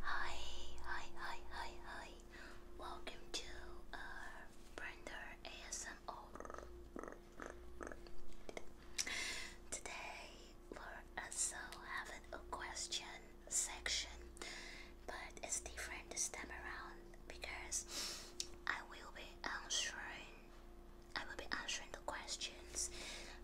Hi, hi, hi, hi, hi. Welcome to uh, Brenda ASMR. Today we're also uh, having a question section, but it's different this time around because I will be answering. I will be answering the questions.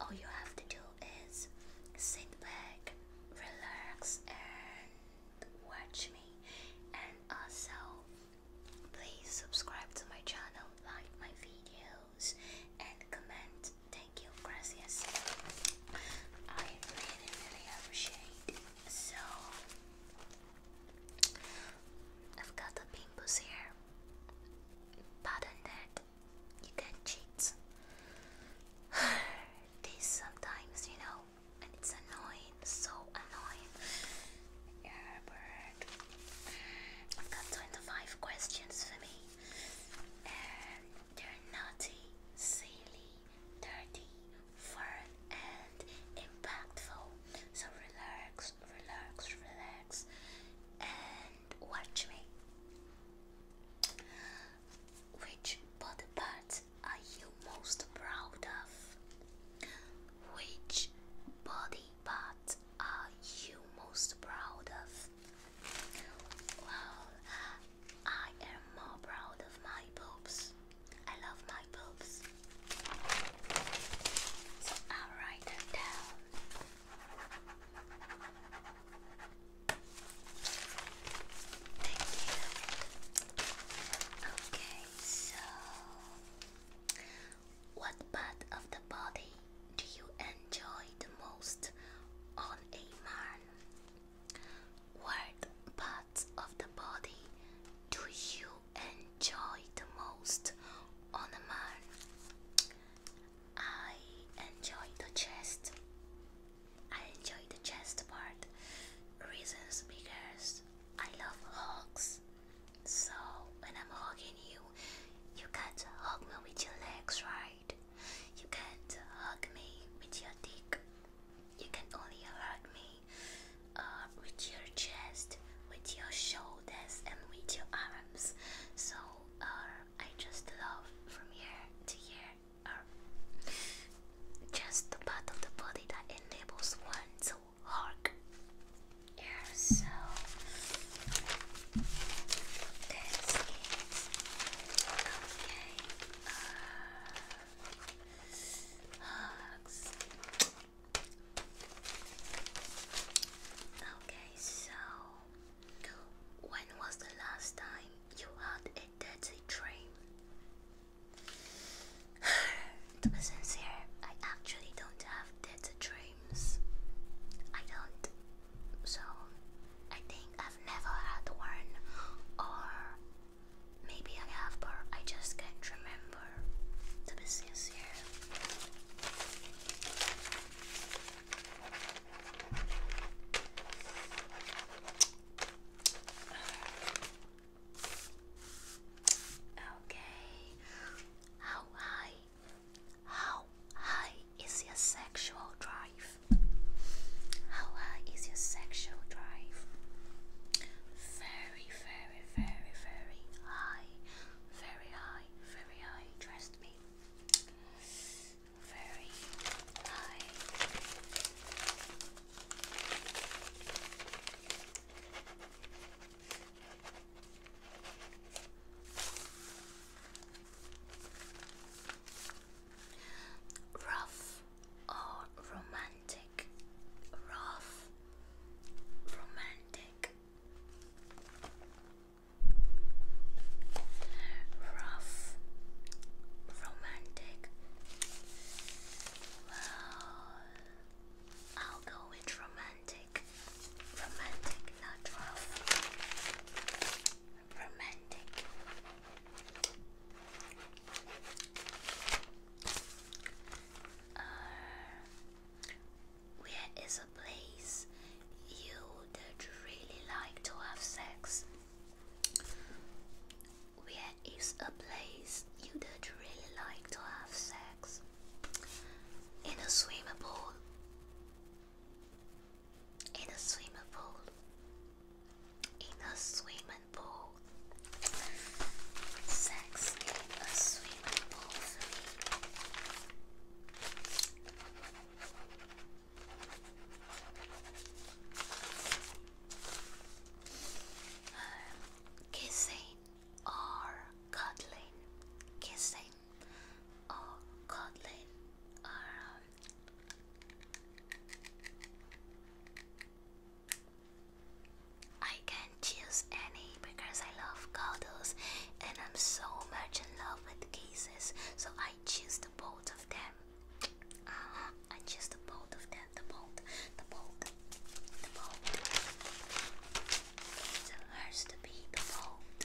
All you have to do is sit back, relax, and watch me. And also, please subscribe to my channel, like my videos, and comment. Thank you, gracias. I really, really appreciate. So, I've got the pimples here. Button that you can cheat. this sometimes, you know, and it's annoying, so annoying. Herbert, I've got 25 questions for me, and they're naughty, silly, dirty, fun, and impactful. So relax, relax, relax, and watch me. Which body part are you most proud of? Which body part are you most proud of? Well, I am more proud of my boobs. I love my boobs. So i write that down. Thank you. Okay, so what part of the body do you enjoy the most on a man? What parts of the body do you enjoy the most on a man? I enjoy the chest. I enjoy the chest part. Reasons because I love hugs. So when I'm hugging you, you can't hug me with your legs, right? You can't hug me with your dick. You can only hug me uh, with your chest, with your shoulders, and with your arms. So uh, I just love from here to here just the part of the body that enables one to walk. Okay. Uh, hugs. Okay, so when was the last time you had and that's a dream. to be sincere, I actually don't have that dreams. I don't. So I think I've never had one, or maybe I have, but I just can't remember. To be sincere. Okay. How high? How high is your sexual drive? How high is your sexual drive? Very, very, very, very high. Very high, very high, trust me very high. Rough or romantic? Rough, romantic. Rough, romantic. I'll go with romantic. Romantic, not rough. Romantic. Uh, where is a place you would really like to have sex? Where is a place you don't really like to have sex? In a swimming pool. In a swimming pool. In a swimming pool. Sex in a swimming pool um, kissing or cuddling, kissing or cuddling, um, I can choose any because I love cuddles and I'm so much in love with kisses, so I choose the both of them. Ah, I choose the bolt of that. The bolt, the bolt, the bolt. So hers to be the boat.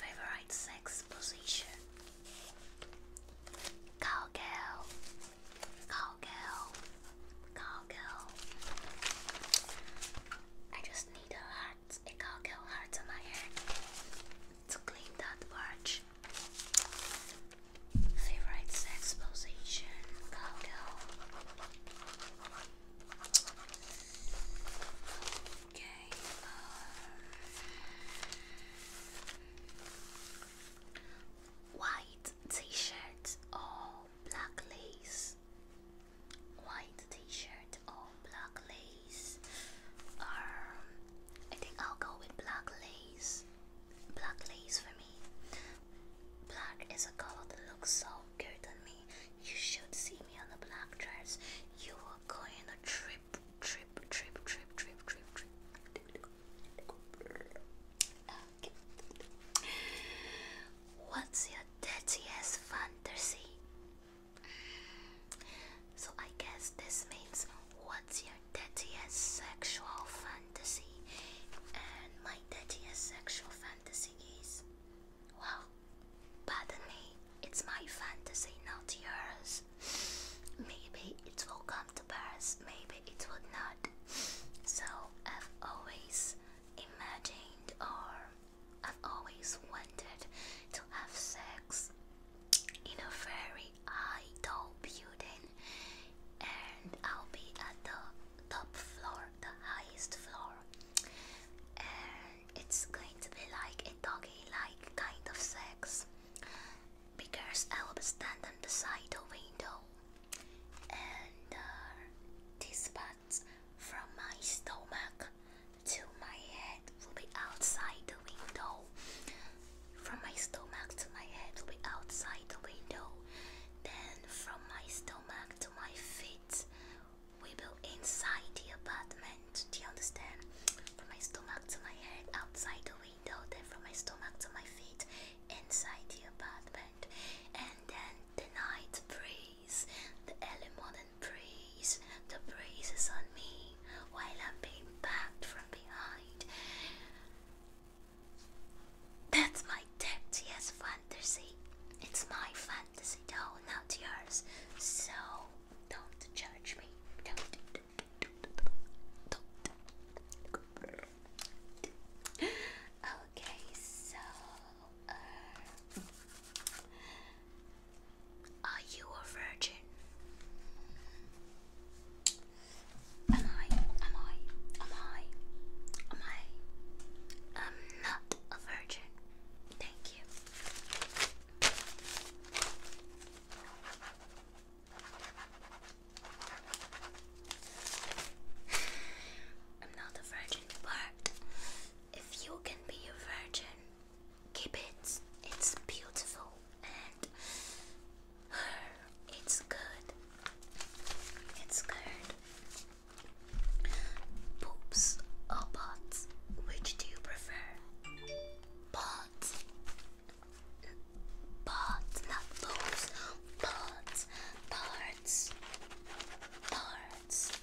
Favorite sex position? Cowgirl. Cowgirl. Cowgirl. I just need a heart, a cowgirl heart on my hand to clean that barge. Favorite sex position, cowgirl. Okay. Um, white t-shirt or black lace. White t-shirt or black lace? Um, I think I'll go with black lace. Black lace for me. Black is a color that looks so good on me. You should see me on a black dress. You are going on a trip, trip, trip, trip, trip, trip, trip. Uh, What's your dirtiest fantasy? Mm. So I guess this means what's your dirtiest sexual fantasy? And my dirtiest sexual fantasy is well, pardon me, it's my fantasy, not yours. Maybe it will come to pass, maybe it will not. So I've always imagined or I've always wanted to have sex in a very idle building and I'll be at the top floor, the highest floor and it's going to be like a doggy like kind of sex because I'll be standing beside the window and uh, this part from my stomach to my head will be outside the window. From my stomach to my head will be outside the window. Then from my stomach to my feet we will inside the apartment. Do you understand? From my stomach to my head outside the window. Then from my stomach to my feet inside the apartment and then the night breeze, the early breeze, the breeze is on me while I'm being packed from behind. That's my dirtiest fantasy. It's my fantasy though, not yours. So don't judge me. Okay, so are you a virgin? Am I? Am I? Am I? Am I? I'm not a virgin. Thank you. I'm not a virgin, but if you can be a virgin, keep it. It's beautiful and it's good. It's good. Poops or pots? Which do you prefer? Pots. Pots, not poops. Pots. Parts. Parts. So,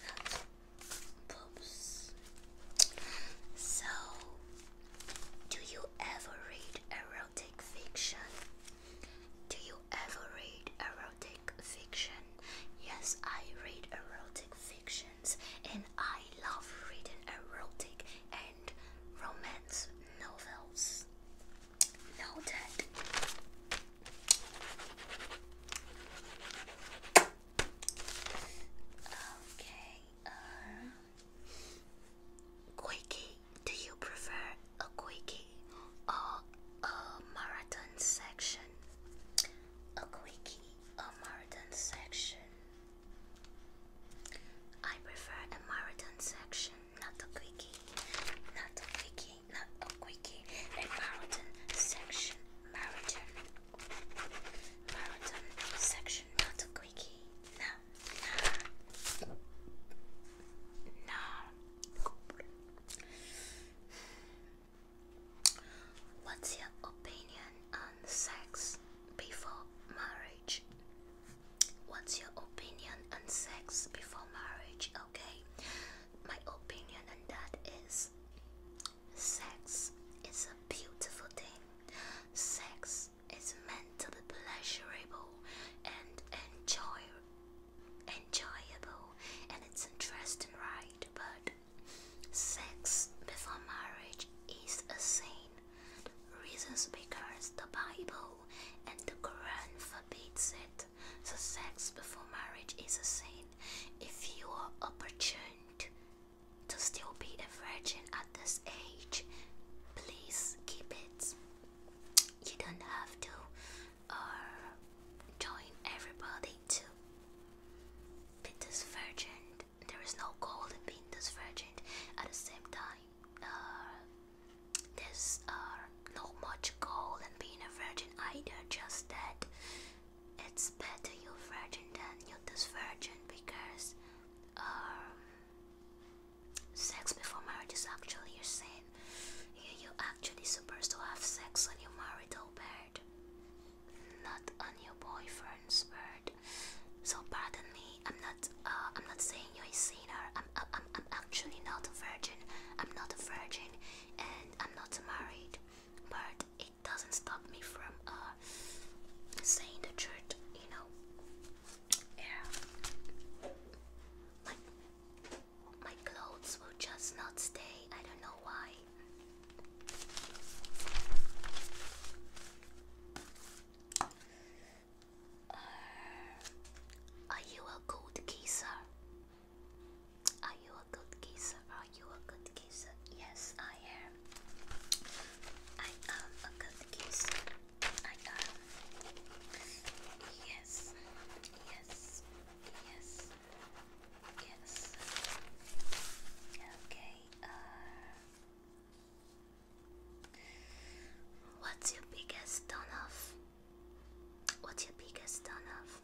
do you ever read erotic fiction? Do you ever read erotic fiction? Yes, I read erotic fictions and I love reading erotic and romance novels. Noted. Okay. Uh, quickie. Do you prefer a quickie or a marathon section? A quickie or marathon section? I prefer a marathon section, not a quickie. Not a quickie not a quickie, a marathon section, marathon, marathon section, not a quickie, no, no. What's your opinion on sex before marriage? What's your opinion on sex before marriage? Okay, my opinion on that is sex is a beautiful thing. Sex is meant to be pleasurable and enjoy enjoyable and it's interesting right but sex before marriage is a sin. reasons because the Bible and the Quran forbids it. The sex before marriage is a sin. If you are opportuned to still be a virgin at this age, please keep it. You don't have to uh, join everybody to be this virgin. There is no gold in being this virgin. At the same time, uh, there's uh, not much goal than being a virgin either, just that it's better you're virgin than you're this virgin because um, sex before marriage is actually a sin. You're actually supposed to have sex on your marital bed, not on your boyfriend's bed. So pardon me, I'm not. Uh, I'm not saying you're a sinner. I'm, I'm. I'm actually not a virgin. I'm not a virgin and I'm not married, but it doesn't stop me from uh, saying the truth, you know. Yeah. Like, my clothes will just not stay, I don't know why. Uh, are you a good kisser? Are you a good kisser? Are you a good kisser? Yes, I am. I am a good kisser. I am. Yes, yes, yes, yes. Okay, uh, What's your biggest turn What's your biggest ton of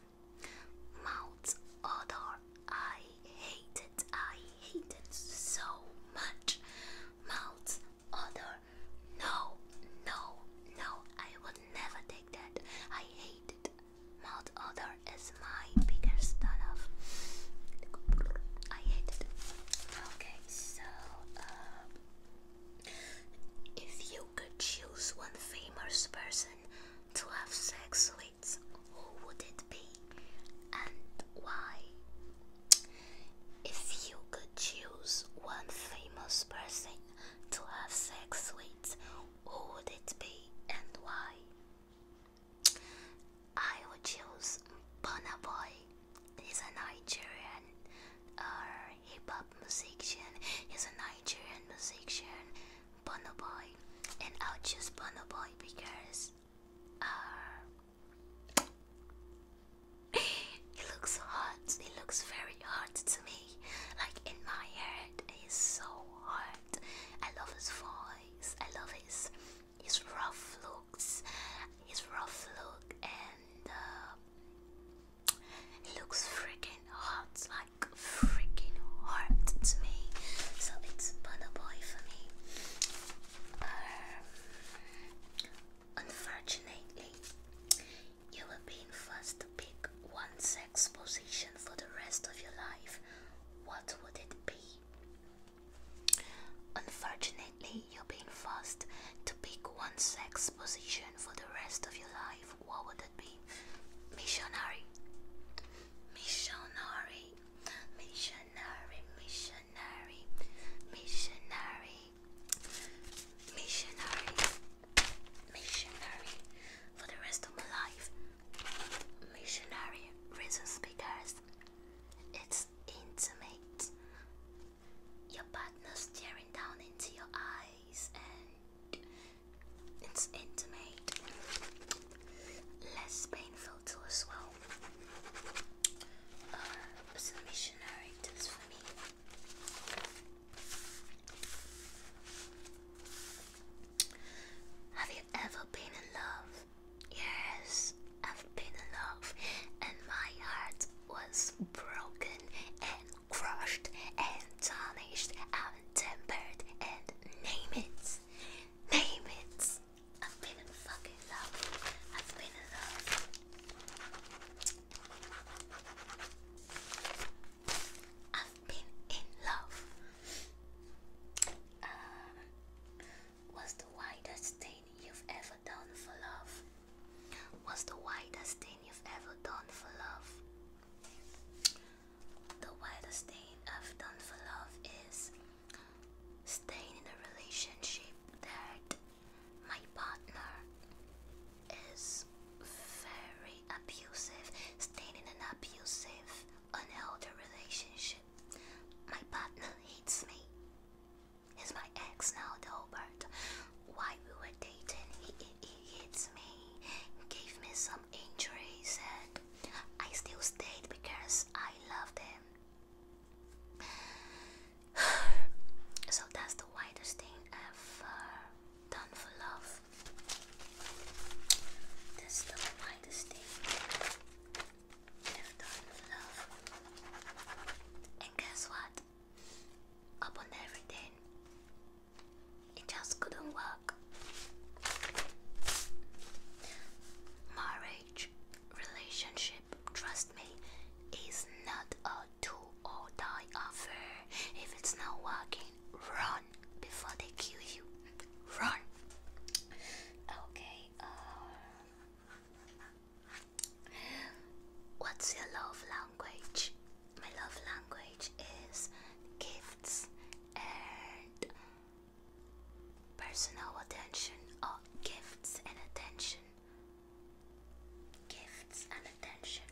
odor? Oh, I hate it. I hate it so much. Mouth odor. No, no, no. I would never take that. I hate it. Mouth odor is my biggest ton I hate it. Okay, so. Um, if you could choose one famous person to have sex with, who would it be and why? If you could choose one famous person to have sex with, who would it be and why? I would choose Bonaboy. He's a Nigerian uh, hip hop musician, he's a Nigerian musician, Bono Boy. And I'll choose Bono Boy because uh, he looks hot, he looks very hot to me. Like in my heart, he's so hot. I love his voice, I love his his rough looks, his rough look, and uh, it looks freaking hot, like freaking hot to me. So it's butterboy for me. Um, unfortunately, you will be forced to pick one sex position for the rest of your life. What would it be? Unfortunately, you're being forced to pick one sex position for the rest of your life life, what would it be? Missionary. Missionary. Missionary. Missionary. Missionary. Missionary. Missionary. For the rest of my life. Missionary. Reasons because it's intimate. Your partner staring down into your eyes and it's intimate, less painful to uh, as well. missionary does for me. Have you ever been in love? Yes, I've been in love, and my heart was broken crushed and tarnished and tempered and name it. Name it. I've been in fucking love. I've been in love. I've been in love. Uh, what's the widest thing you've ever done for love? What's the widest thing you've ever done for love? The widest stain I've done for love is staying in a relationship that my partner is very abusive, staying in an abusive, unhealthy relationship. My partner hates me. He's my ex now, Delbert. While we were dating, he, he, he hates me. He gave me some injuries and I still stayed because I loved him. so that's the widest thing I've uh, done for love. That's the widest thing I've done for love. And guess what? Upon everything, it just couldn't work. Marriage, relationship, trust me, is not a do or die affair. If it's not working, run before they kill you. Run. Okay. Um, what's your love language? my love language is gifts and personal attention. Oh, gifts and attention. Gifts and attention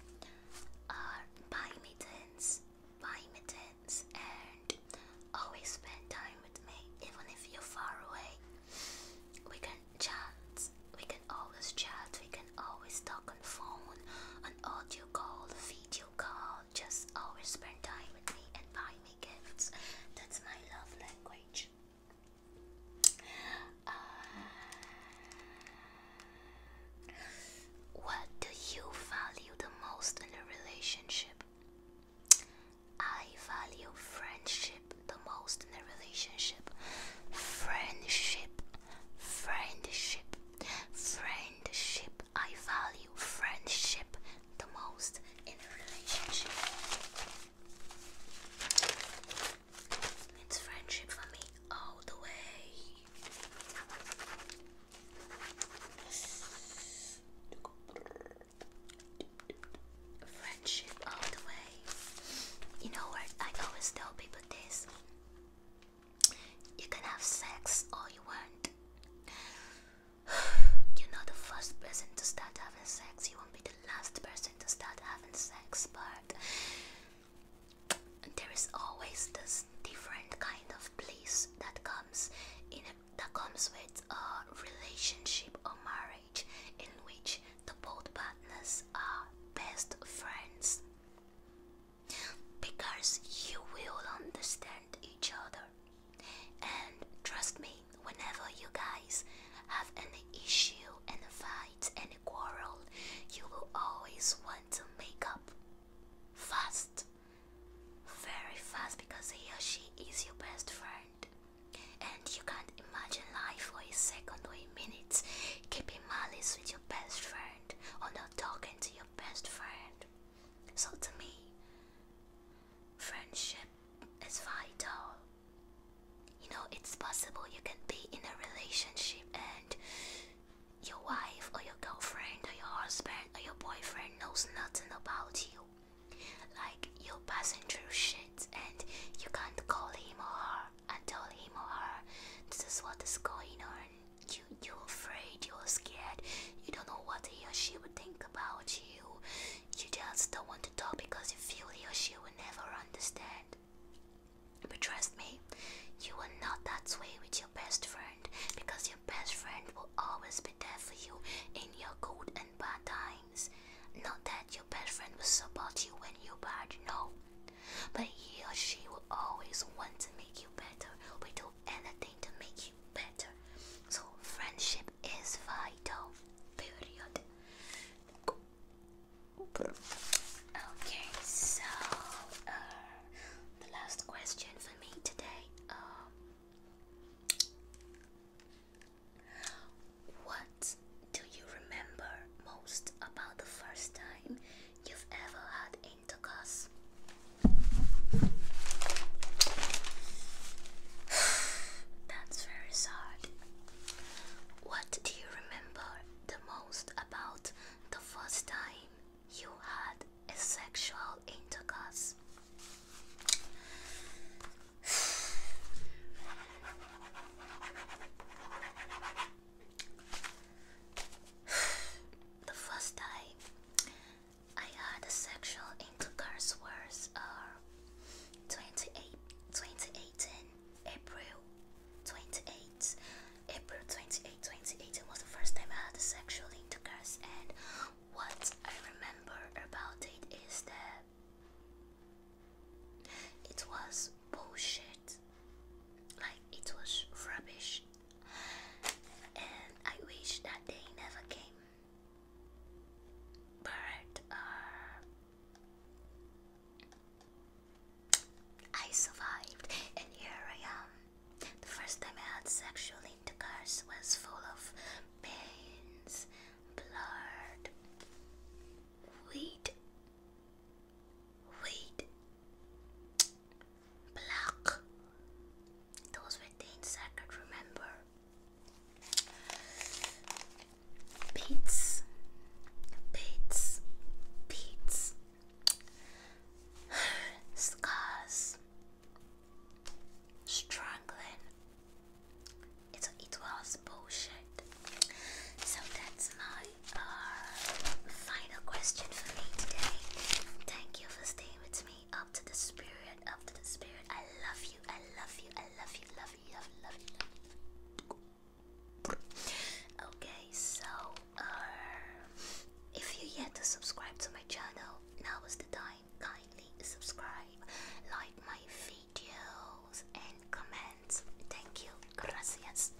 are buy me things, buy me things, and always spend time with me, even if you're far away. We can chat, we can always chat, we can always talk on phone, on audio call, video call, just always spend time with me and buy me gifts. That's my love language. Uh, what do you value the most in a relationship? I value friendship the most in a relationship. Friendship Friendship. Friendship. I value friendship the most in a relationship. It's friendship for me all the way. Friendship all the way. You know what? I always tell people this. You can have sex all you want. You're not the first person to start having sex. You won't be the last person to start having sex, but there is always this different kind of bliss that comes in a, that comes with a relationship or marriage in which the both partners are best friends because you will understand each other. And trust me, whenever you guys have any issue, any fight, any quarrel, you will always want to make up fast, very fast, because he or she is your best friend. And you can't imagine life for a second or a minute keeping malice with your best friend or not talking to your best friend. So to me, friendship is vital. You know, it's possible you can be in a relationship and your wife or your girlfriend or your husband or your boyfriend knows nothing about you. Like you're passing through shit and you can't call him or her and tell him or her this is what is going on you you're afraid, you're scared, you don't know what he or she would think about you. You just don't want to talk because you feel he or she will never understand. But trust me, you are not that way with your best friend because your best friend will always be there for you in your good and bad times. Not that your best friend will support you when you're bad, no. But he or she will always want to make you better with anything to make you better. So friendship is vital. Period. Okay, so uh, the last question for me today. Um, what do you remember most about the first time you've ever had into That's very sad. What do you remember the most about the first time you had a sexual intercourse? the first time I had a sexual intercourse was uh, 28, 2018, April 28, April 28, 2018 was the first time I had a sexual intercourse and what I remember about it is that it was bullshit. Like it was rubbish and I wish that day never came. But uh, I survived, and here I am. The first time I had sexual intercourse was full of pains, blood. Wait, wait, Black. Those were things I remember. Beats, beats, beats. Scars. Strangling. It's, it was bullshit. So that's my uh, final question for me today. Thank you for staying stay me up to the spirit, up to the spirit. I love you, I love you, I love you, love you, love you, love you. Love you. Okay, so uh, if you're yet to subscribe to my channel, now is the time. Kindly subscribe, like my videos, and comment. Thank you, gracias.